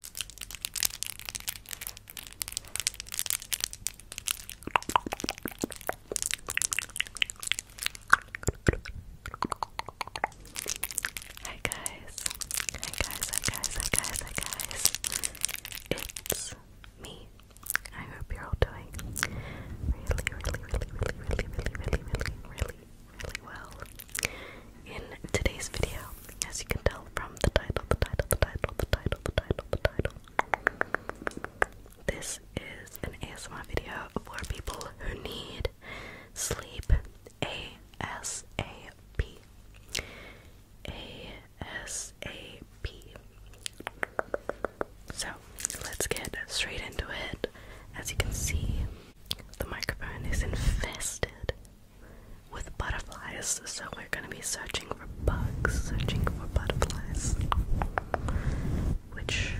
Hi guys. Hi guys, hi guys, hi guys, hi guys. It's me. I hope you're all doing really, really, really, really, really, really, really, really, really, really well. In today's video, as you can tell from the title, the title, the title, the title, the title, the title, this is an ASMR video for people who need sleep ASAP. ASAP. So let's get straight into it. As you can see, the microphone is infested with butterflies, so we're gonna be searching for bugs, searching for butterflies, which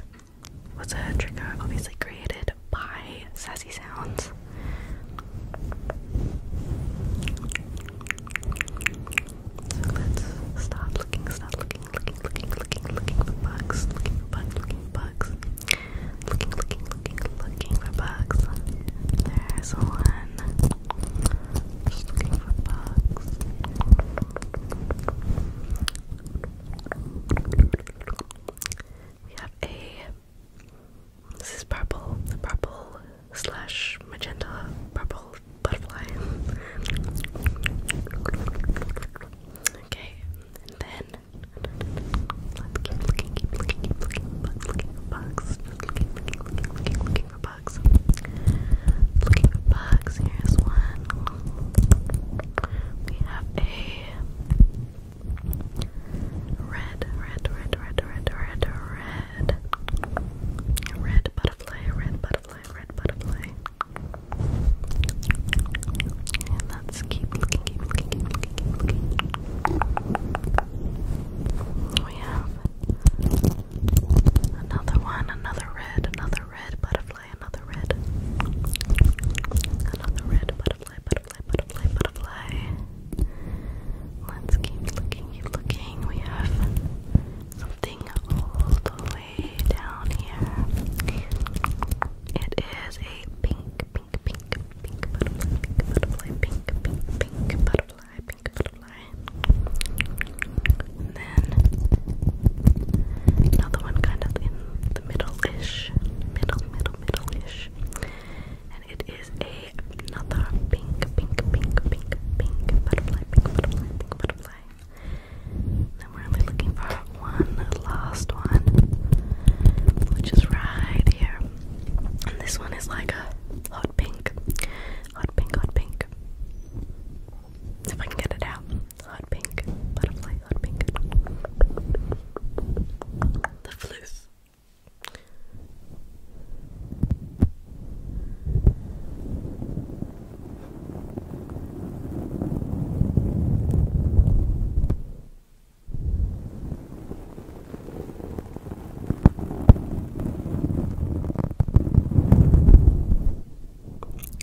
was a trigger obviously created by Sassy Sounds. let's start looking, start looking, looking, looking, looking, looking for bugs, looking bugs, looking bugs looking, looking, looking, looking for bugs. There's one. looking for bugs. We have a. This is purple. purple slash magenta purple butterfly. Okay, and then let's keep looking, keep looking, keep looking, keep looking for bugs looking, looking, looking, looking, looking for bugs. Looking for bugs. Here's one. We have a red, red, red, red, red, red, red, red butterfly, red butterfly, red butterfly. And let we have another one, another red, another red butterfly, another red, another red butterfly, butterfly, butterfly, butterfly. Let's keep looking, keep looking. We have something all the way down here. It is a pink, pink, pink, pink butterfly, pink butterfly, pink, pink, pink butterfly pink butterfly. And then another one kind of in the middle-ish. Middle, middle, middle-ish. And it is a another pink, pink, pink, pink, pink butterfly, pink butterfly, pink butterfly. Then we're only looking for one last one, which is right here. And this one is like a hot pink, hot pink, hot pink. If I can get it out, hot pink, butterfly, hot pink. The floof.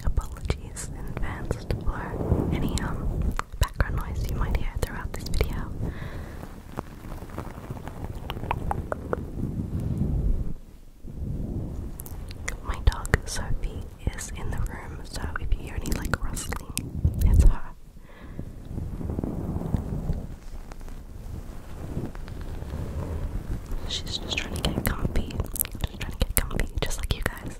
Apologies in advance for any um background noise you might hear throughout this video. My dog Sophie is in the room, so if you hear any like rustling, it's her. She's just trying to get comfy. Just trying to get comfy, just like you guys.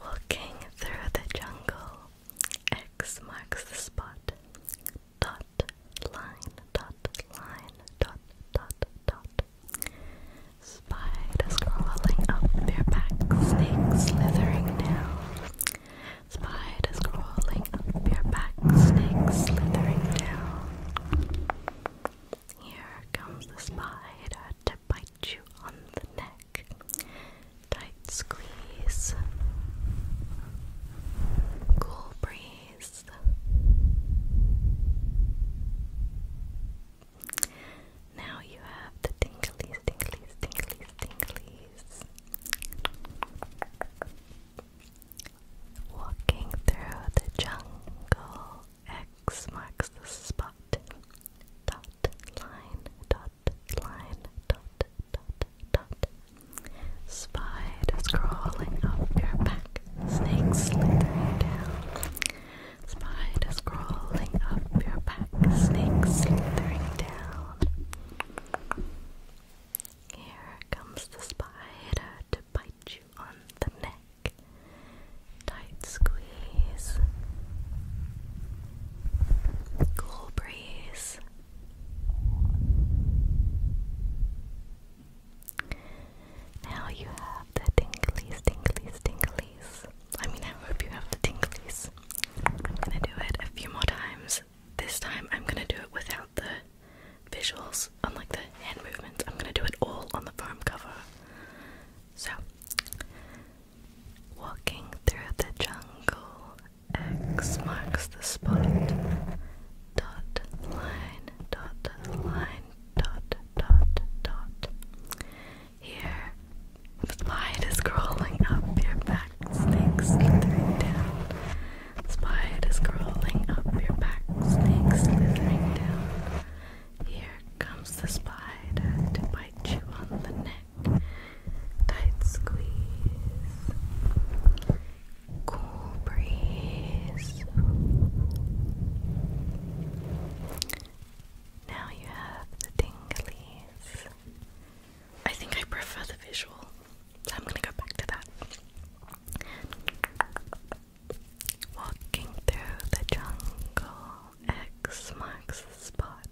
Walking through the jungle, X marks the spot. Dot, line, dot, line, dot, dot, dot. Spiders crawling up your back, snakes slithering down. Spiders crawling up your back, snake slithering down. Here comes the spider to bite you on the neck. Tight squeeze. Cool breeze. Now you have the tingly, tingly, tingly, tingly days. Walking through the jungle, X marks the spot. Dot, line, dot, line, dot, dot, dot. Spiders crawling up your back, snakes slithering down. Spiders crawling up your back, snakes slithering down. Here comes the spider to bite you on the neck. Tight squeeze. Cool breeze. Now you have the tinglies, tinglies, tinglies. I mean, I hope you have the tinglies. I'm gonna do it a few more times this time I'm gonna do it without the visuals, unlike the hand movements. I'm gonna do it all on the farm cover. So, walking through the jungle, X marks the spot. Dot, line, dot, line, dot, dot, dot. Here, the light is crawling up your back back, snake slithering down. Spiders crawling up your back, snake slithering down. Here comes the spider to bite you on the neck. Tight squeeze. Cool breeze. Now you have the dinglies. I think I prefer the visual, so I'm gonna go back to that. Walking through the jungle, X marks the spot.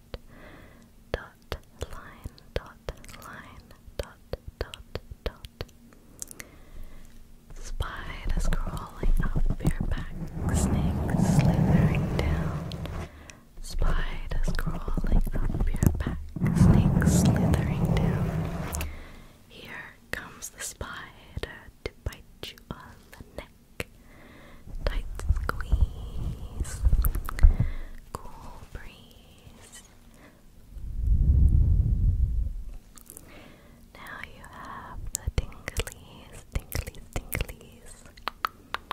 Dot line, dot line, dot, dot, dot. Spiders crawling up your back, snakes slithering down. Spiders crawling up your back, snakes slithering down. Here comes the spider to bite you on the neck. Tight squeeze, cool breeze. Now you have the tinglies, tinglies, tinglies.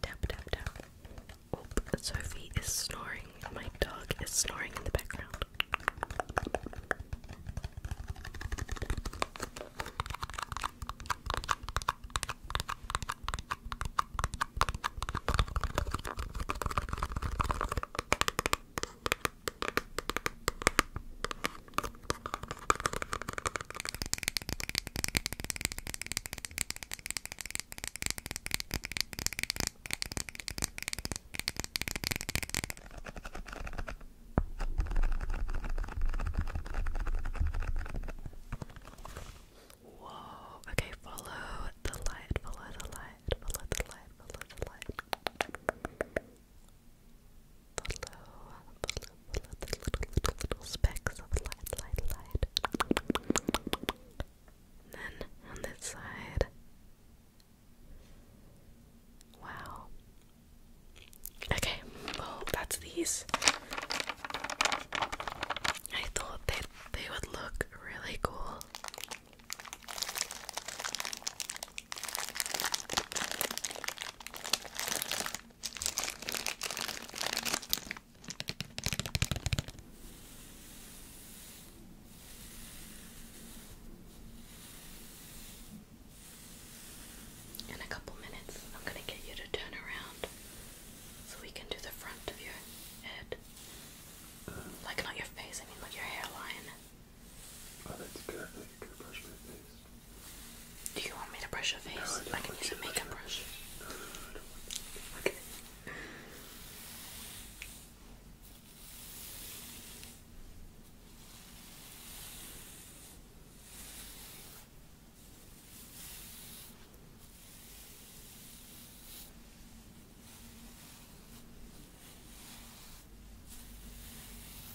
Tap, tap, tap. Sophie is snoring. My dog is snoring in the background. Whoa, okay, follow the light, follow the light, follow the light, follow the light. Follow, follow, follow little, little, little specks of light, light, light. then on this side. Wow. Okay, well, that's these. I thought that they would look really cool. In a couple minutes, I'm going to get you to turn around so we can do the front of your head. Like, not your face, I mean, like your hairline. Oh, that's good. I think I brush my face. Do you want me to brush your face? I, can use a makeup brush. Okay.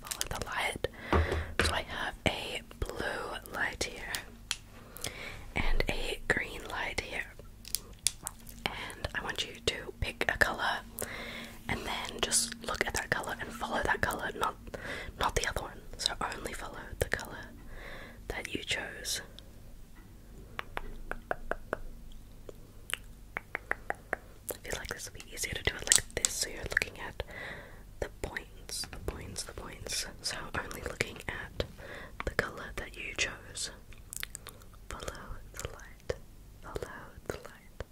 Follow the light. So I have a blue light here and a green light here. And I want you to pick a color and then just look at that color and follow that color, not not the other one. So only follow the color that you chose. I feel like this will be easier to do it like this, so you're looking at the points, the points, the points. So only looking at the color that you chose. Follow the light, follow the light,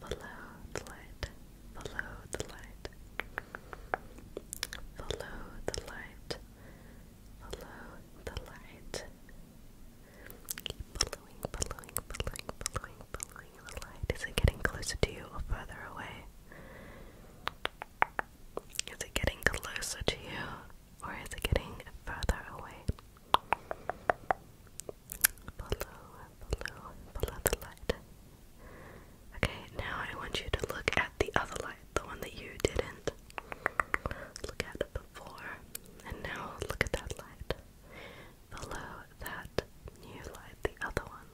follow the light, follow the light, follow the light, follow the light. Is it getting closer to you or further away? Is it getting closer to you or is it getting further away? the light. Okay, now I want you to look at the other light, the one that you didn't. Look at before. And now look at that light. Below that new light, the other one.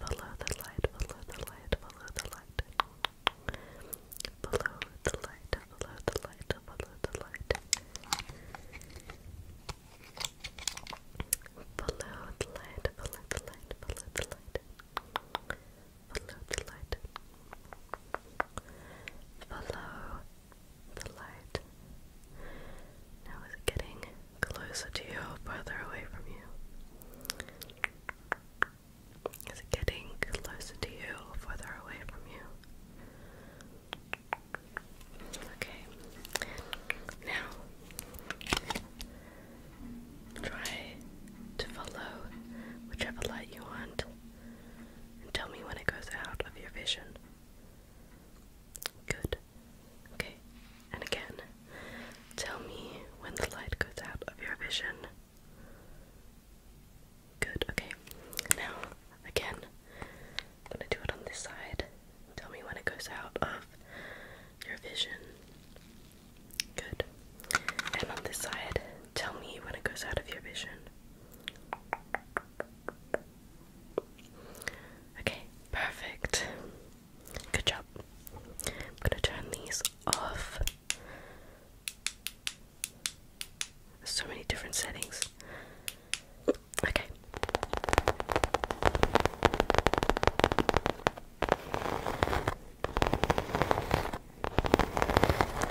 Below the light, below the light, below the light. Below the light, below the light, below the light. Below the light, Follow the light. Follow the light. Now is it getting closer to you or further away from you? Is it getting closer to you or further away from you? Okay. Now, try to follow whichever light you want and tell me when it goes out of your vision. Good. Okay, and again, tell me when the light goes out of your vision. Good, okay. Now, again, I'm gonna do it on this side. Tell me when it goes out of your vision. Good. And on this side, tell me when it goes out of your vision. Okay, perfect. Good job. I'm gonna turn these off. so many different settings. Okay.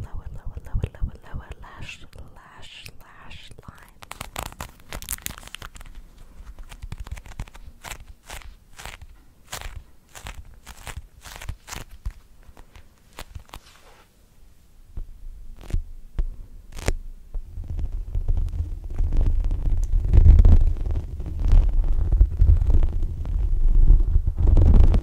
lower, lower, lower, lower, lower lash, lash, lash line. Now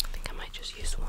I think I might just use one.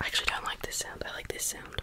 I actually don't like this sound. I like this sound.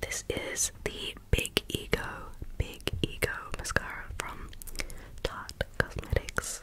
This is the Big Ego, Big Ego mascara from Tarte Cosmetics.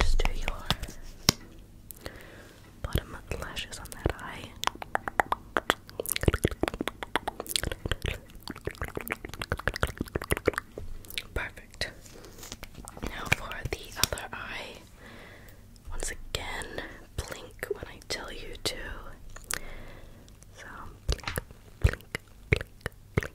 Just do your bottom lashes on that eye. Perfect. Now for the other eye. Once again, blink when I tell you to. So blink, blink, blink, blink,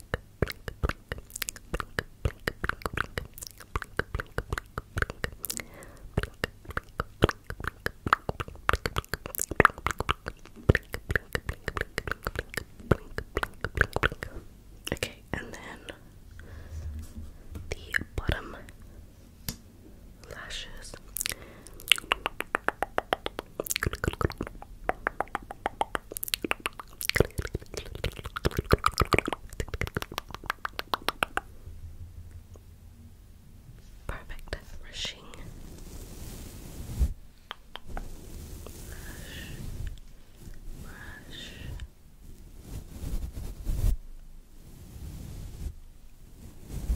Okay, and then the bottom lashes. Perfect brushing. Brush. Brush.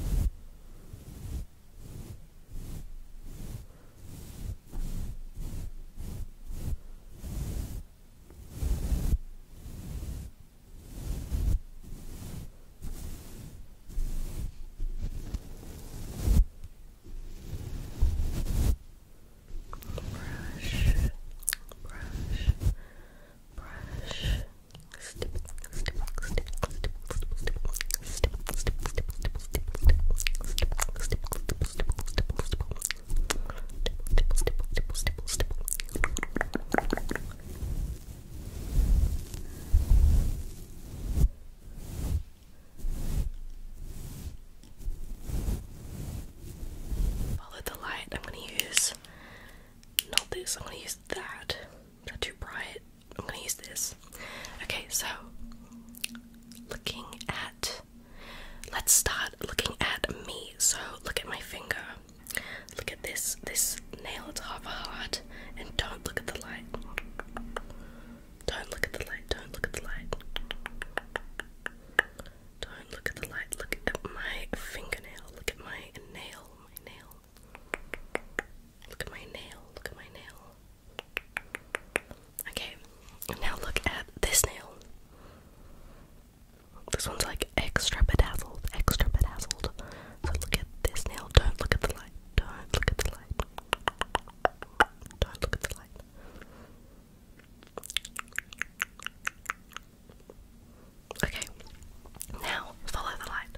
Brush. Brush, brush, brush. Stip, stip, stip, stip, Follow the light. I'm going to use not this, I'm going to use that. Is that too bright? I'm gonna use this. Okay, so looking at let's start looking at me. So look at my finger. Look at this this nail, it's half a heart, and don't look at the light. Don't look at the light, don't look at the light. Don't look at the light, look at my fingernail, look at my nail, my nail. Look at my nail, look at my nail. Okay, now look at this nail. This one's like extra bedazzled, extra bedazzled. So look at this nail. Don't look at the light. Don't look at the light. Don't look at the light. Okay, now follow the light.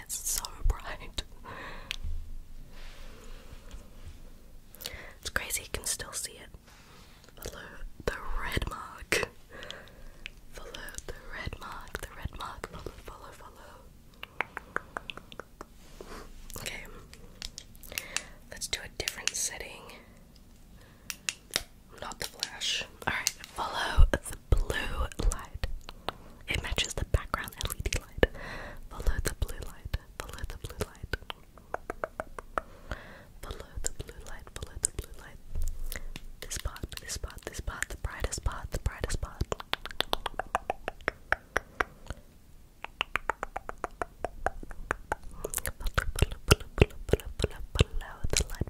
god, it's so bright. It's crazy you can still see it. Follow the red mark. Follow the red mark, the red mark, follow, follow, follow. Okay. Let's do a different setting. Not the flash. Alright, follow the blue light. It matches the background LED light. Follow the blue light. Follow the blue light. Follow the blue light. Follow the blue light. This part, this part, this part, the brightest part, the brightest part. Follow the light, follow the light, follow the light.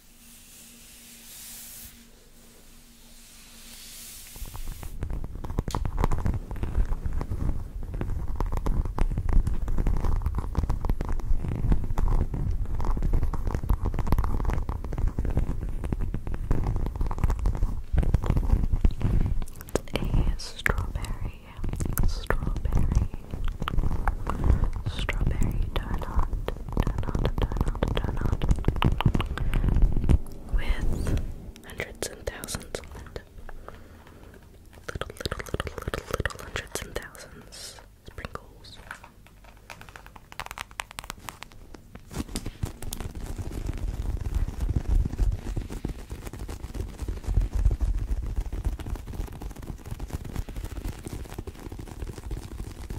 A strawberry, strawberry, strawberry donut, on, turn on. With hundreds and thousands on it. Little, little, little, little, little hundreds and thousands sprinkles. Thank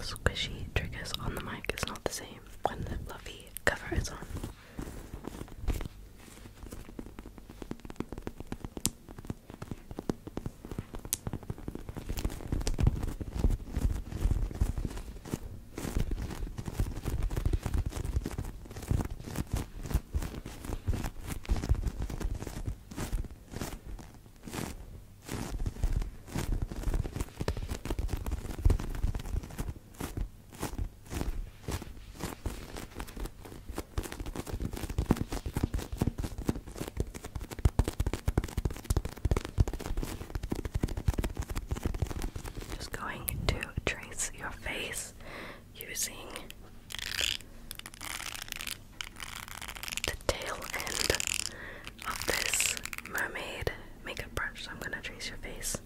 Squishy triggers on the mic is not the same when the fluffy cover is on. Just going to trace your face using the tail end of this mermaid makeup brush. So I'm gonna trace your face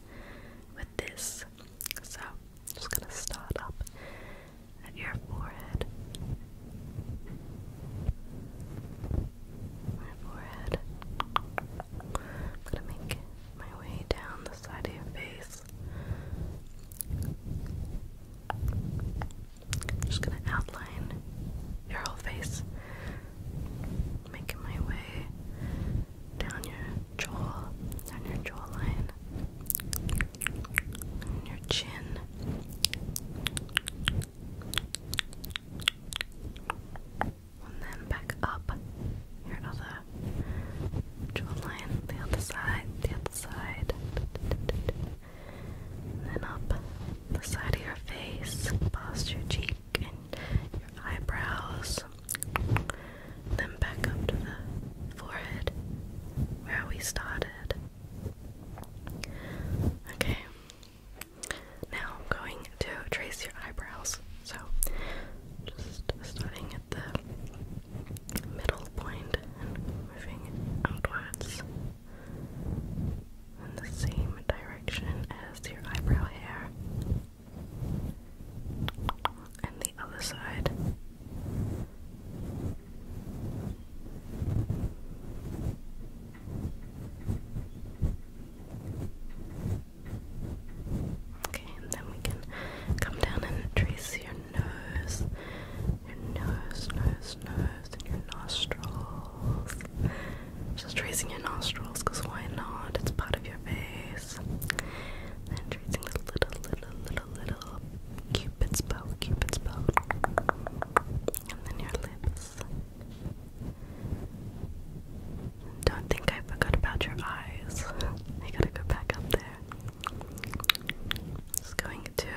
with this. So I'm just gonna start up at your forehead. My forehead. I'm gonna make my way down the side of your face just gonna outline your whole face, making my way down your jaw, down your jawline, your chin. And then back up your other jawline, the other side, the other side. then up the side of your face, past your cheek and your eyebrows. then back up to the forehead where we started. Okay. Now I'm going to trace your eyebrows. So, just starting the middle point and moving outwards in the same direction as your eyebrow hair. And the other side. Okay, and then we can come down and trace your nose, your nose, nose, nose, and your nostrils. Just tracing your nostrils, cause why not? It's part of your face. Then tracing the little, little, little, little cupid's bow, cupid's bow, and then your lips. Don't think I forgot about your eyes. I gotta go back up there. Just going to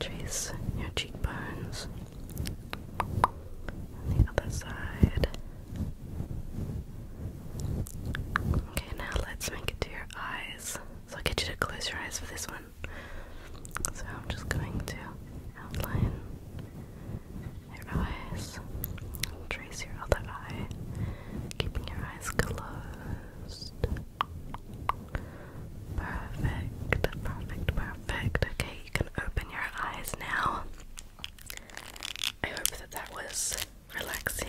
trace your cheekbones the other side. Okay, now let's make it to your eyes. So I'll get you to close your eyes for this one. So I'm just going to outline your eyes, trace your other eye, keeping your eyes closed. Perfect, perfect, perfect. Okay, you can open your eyes now. I hope that that was relaxing.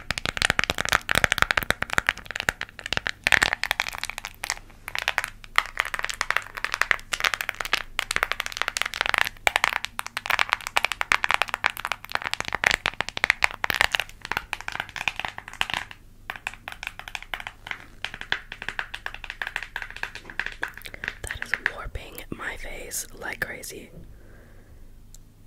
That is warping my face like crazy.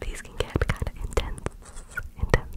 These can get kind of intense, intense, intense.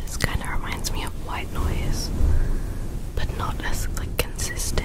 This kind of reminds me of white noise, but not as like consistent.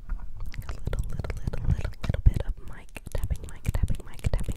A little, little, little, little, little bit of mic tapping, mic tapping, mic tapping.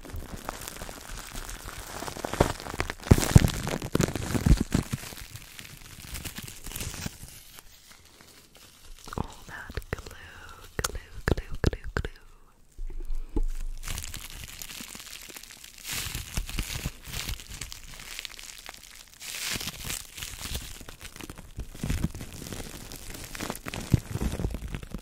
All that glue, glue, glue, glue, glue.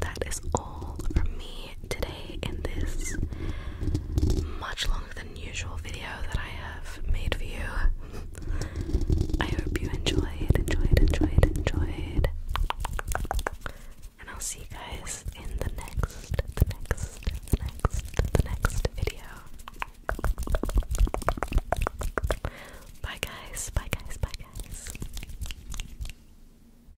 that is all from me today in this much longer than usual video that I have made for you. I hope you enjoyed, enjoyed, enjoyed, enjoyed. And I'll see you guys in the next, the next, the next, the next video. Bye guys, bye guys, bye guys.